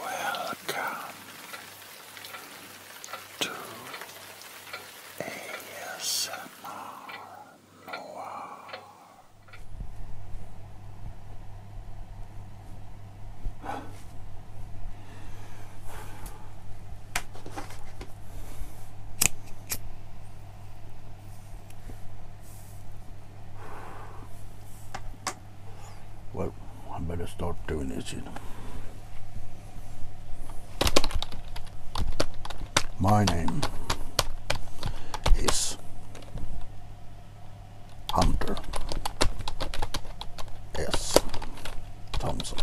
Welcome to ASMR Noir. Well, I better start doing it, you know. My name is Hunter S. Thompson.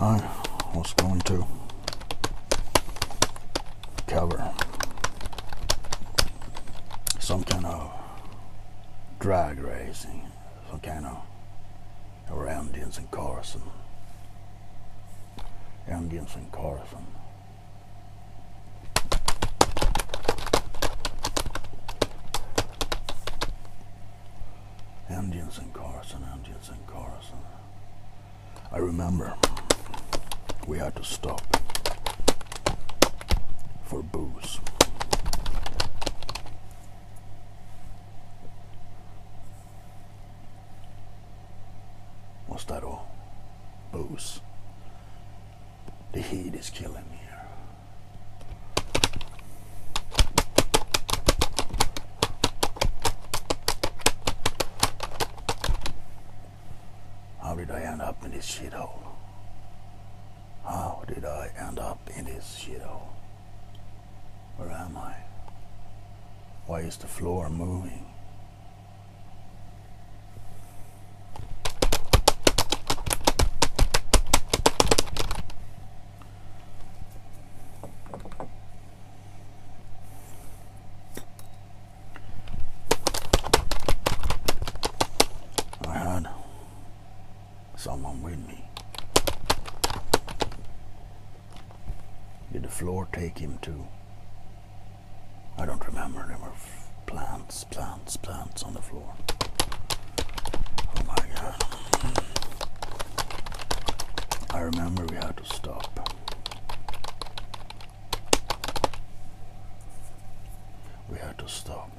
I was going to cover some kind of drag racing, some kind of around Indians and Carson. Indians and Carson. Indians Carson, Indians Carson. I remember we had to stop for booze. Was that all? Booze. The heat is killing me. How did I end up in this shithole? How did I end up in this shithole? Where am I? Why is the floor moving? I had someone with me. Did the floor take him too? I don't remember. There were plants, plants, plants on the floor. Oh my god. I remember we had to stop. We had to stop.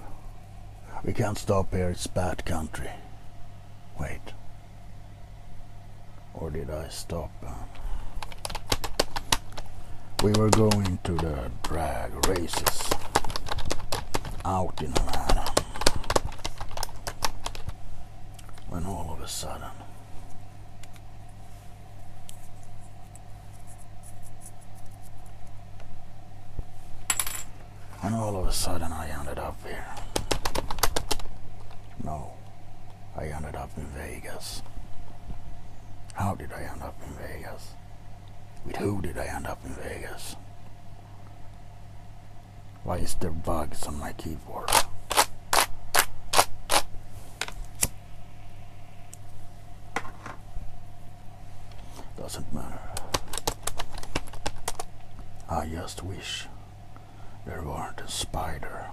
We can't stop here, it's bad country. Wait. Or did I stop? We were going to the drag races out in Atlanta when all of a sudden and all of a sudden I ended up here. No, I ended up in Vegas? How did I end up in Vegas? With who did I end up in Vegas? Why is there bugs on my keyboard? Doesn't matter. I just wish there weren't a spider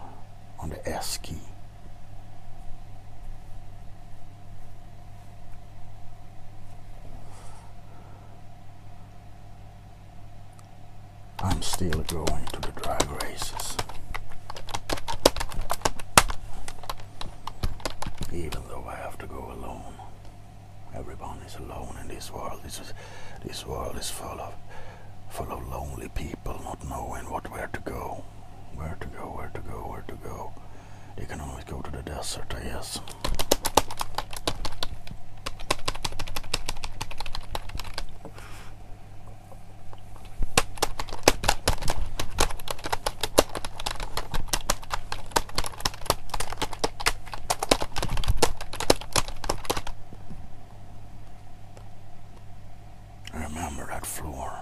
on the S key. I'm still going to the drag races. Even though I have to go alone. Everyone is alone in this world. This is this world is full of full of lonely people not knowing what where to go. Where to go, where to go, where to go. You can always go to the desert, I guess. I remember that floor.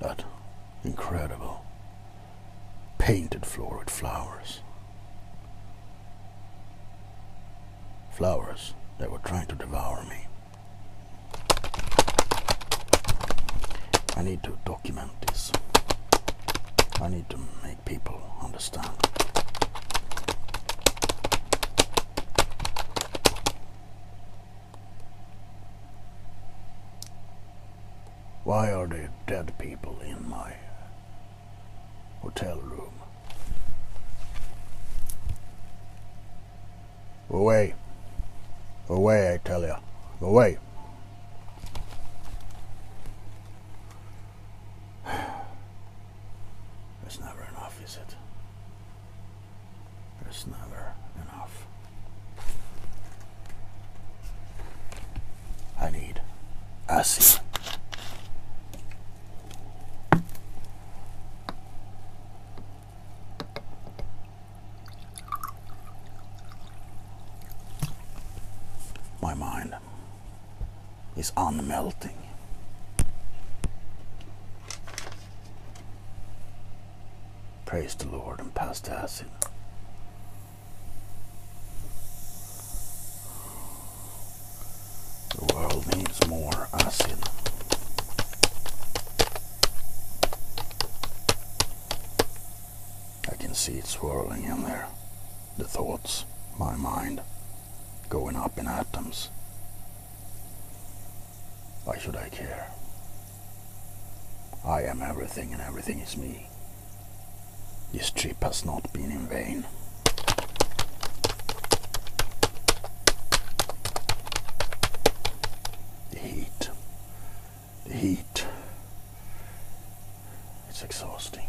That incredible painted floor with flowers. Flowers that were trying to devour me. I need to document this. I need to make people understand. Why are there dead people in my hotel room? Away. Away, I tell you. Away. That's never enough, is it? There's never enough. I need ice. My mind is unmelting. Praise the Lord and pass the acid. The world needs more acid. I can see it swirling in there. The thoughts, my mind, going up in atoms. Why should I care? I am everything and everything is me. This trip has not been in vain. The heat. The heat. It's exhausting.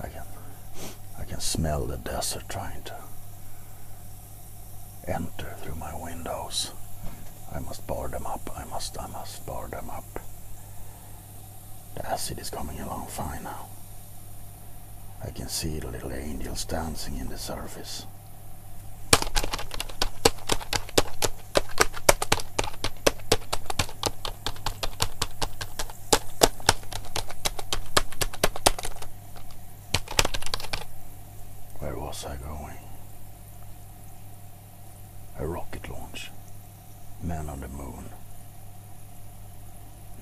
I can, I can smell the desert trying to enter through my windows. I must bar them up. I must, I must bar them up. The acid is coming along fine now. I can see the little angels dancing in the surface. Where was I going? A rocket launch. Man on the moon.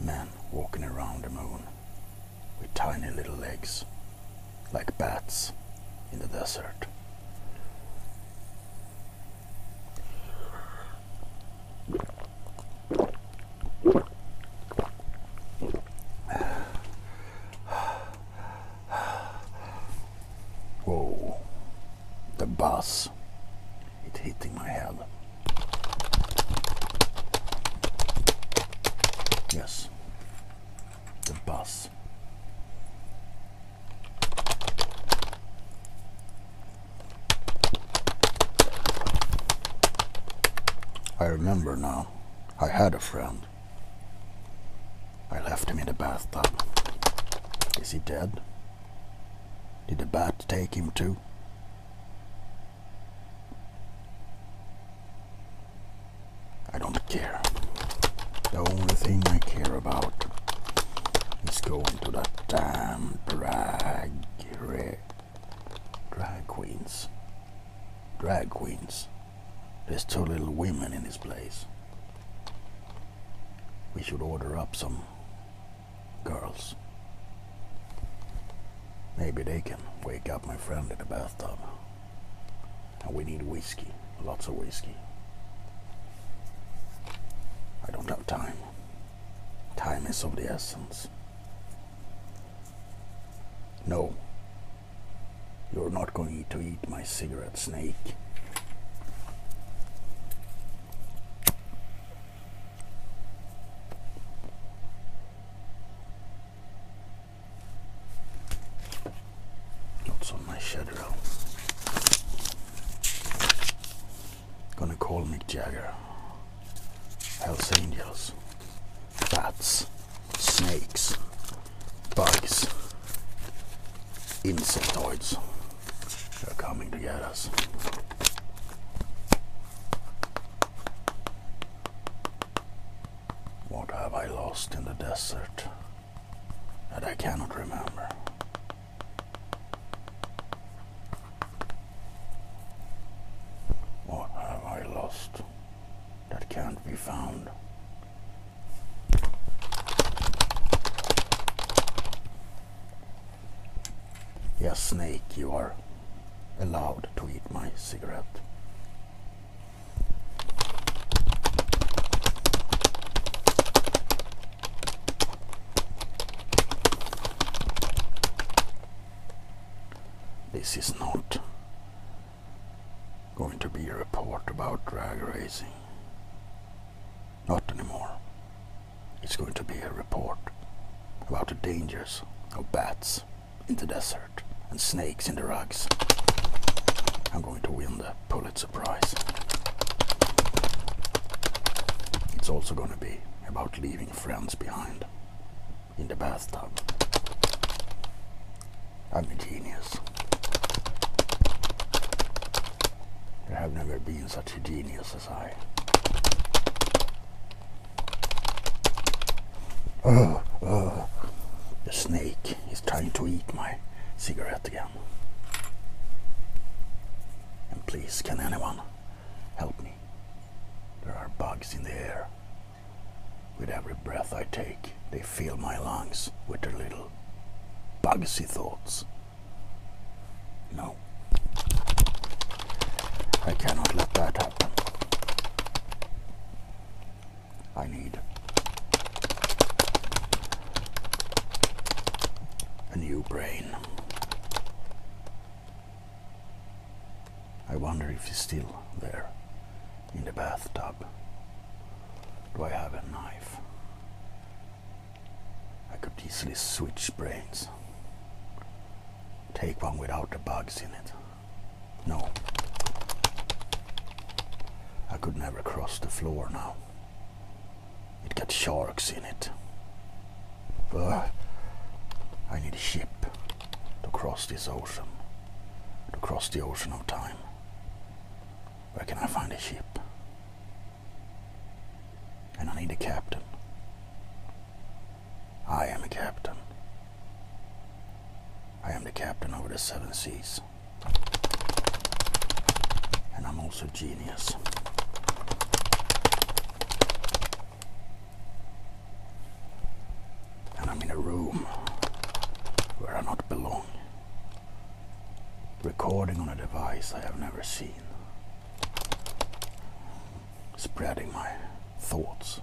Man walking around the moon with tiny little legs, like bats in the desert. Whoa, the bus, it hitting my head. Yes, the bus. I remember now. I had a friend. I left him in the bathtub. Is he dead? Did the bat take him too? I don't care. The only thing I care about is going to that damn drag race. Drag queens. Drag queens. There's two little women in this place. We should order up some girls. Maybe they can wake up my friend in the bathtub. And we need whiskey, lots of whiskey. I don't have time. Time is of the essence. No. You're not going to eat my cigarette snake. What's my shadow? Gonna call Mick Jagger. Hells Angels. Bats. Snakes. Bugs. Insectoids. They're coming to get us. What have I lost in the desert that I cannot remember? What have I lost that can't be found? Yes, Snake, you are allowed to eat my cigarette. This is not going to be a report about drag racing. Not anymore. It's going to be a report about the dangers of bats in the desert and snakes in the rugs. I'm going to win the Pulitzer Prize. It's also going to be about leaving friends behind in the bathtub. I'm a genius. There have never been such a genius as I. Oh, oh. The snake is trying to eat my cigarette again. And please, can anyone help me? There are bugs in the air. With every breath I take, they fill my lungs with their little bugsy thoughts. No. I cannot let that happen. I need a new brain. I wonder if he's still there in the bathtub. Do I have a knife? I could easily switch brains. Take one without the bugs in it. No. I could never cross the floor now. It got sharks in it. But I need a ship to cross this ocean, to cross the ocean of time. Where can I find a ship? And I need a captain. I am a captain. I am the captain over the seven seas. And I'm also genius. And I'm in a room where I not belong. Recording on a device I have never seen. Spreading my thoughts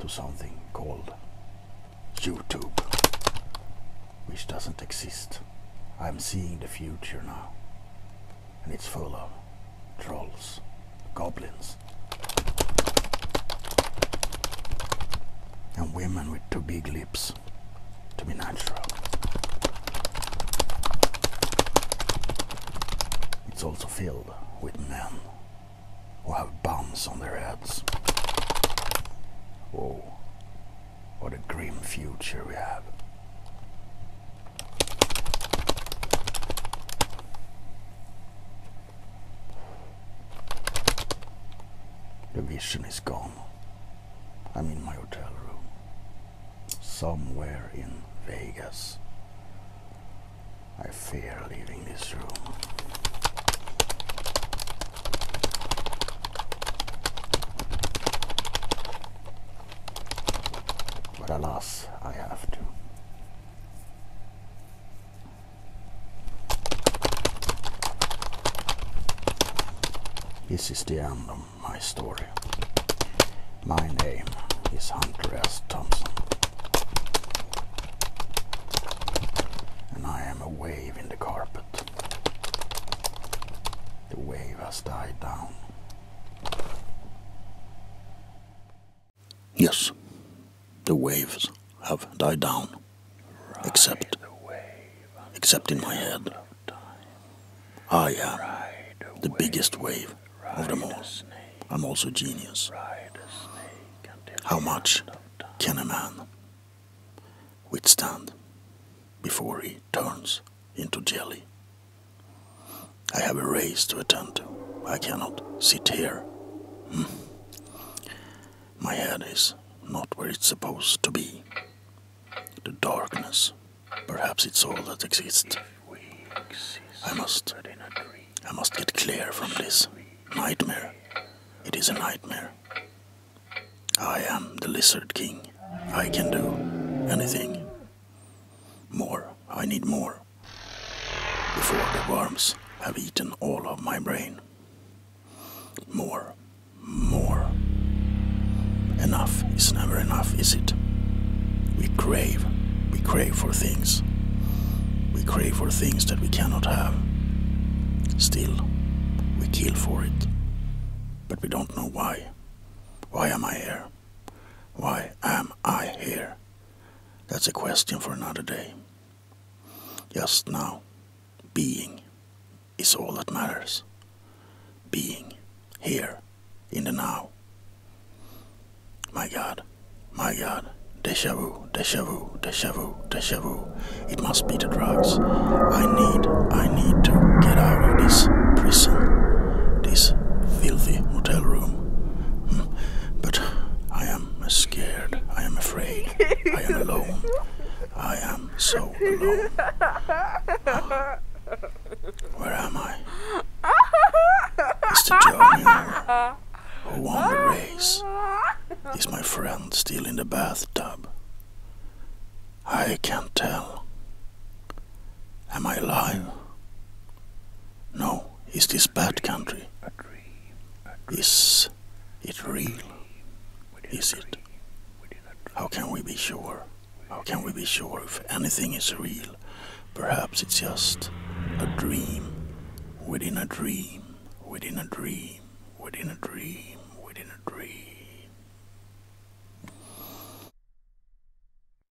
to something called YouTube, which doesn't exist. I'm seeing the future now and it's full of trolls, goblins, and women with too big lips to be natural. It's also filled with men who have bumps on their heads. Oh, what a grim future we have. The vision is gone. I'm in my hotel room. Somewhere in Vegas. I fear leaving this room. But alas, I have to. This is the end of my story. My name is Hunter S. Thompson. And I am a wave in the carpet. The wave has died down. Yes, the waves have died down, except, except in my head. Ah, yeah, the biggest wave of them all. I'm also genius. How much can a man withstand before he turns into jelly? I have a race to attend to. I cannot sit here. Hmm. My head is not where it's supposed to be. The darkness. Perhaps it's all that exists. I must. I must get clear from this nightmare. It is a nightmare. I am the Lizard King. I can do anything. More. I need more. Before the worms have eaten all of my brain. More. More. Enough is never enough, is it? We crave. We crave for things. We crave for things that we cannot have. Still, we kill for it. But we don't know why. Why am I here? Why am I here? That's a question for another day. Just now, being is all that matters. Being here in the now. My God, my God, deja vu, deja vu, It must be the drugs. I need, I need to get out of this prison, this filthy motel room. But I am scared. I am afraid. I am alone. I am so alone. Where am I? Mr. Junior, who won the race, is my friend still in the bathtub? I can't tell. Am I alive? No. Is this bad country? Is it real? Is it? How can we be sure? How can we be sure if anything is real? Perhaps it's just a dream within a dream, within a dream, within a dream, within a dream.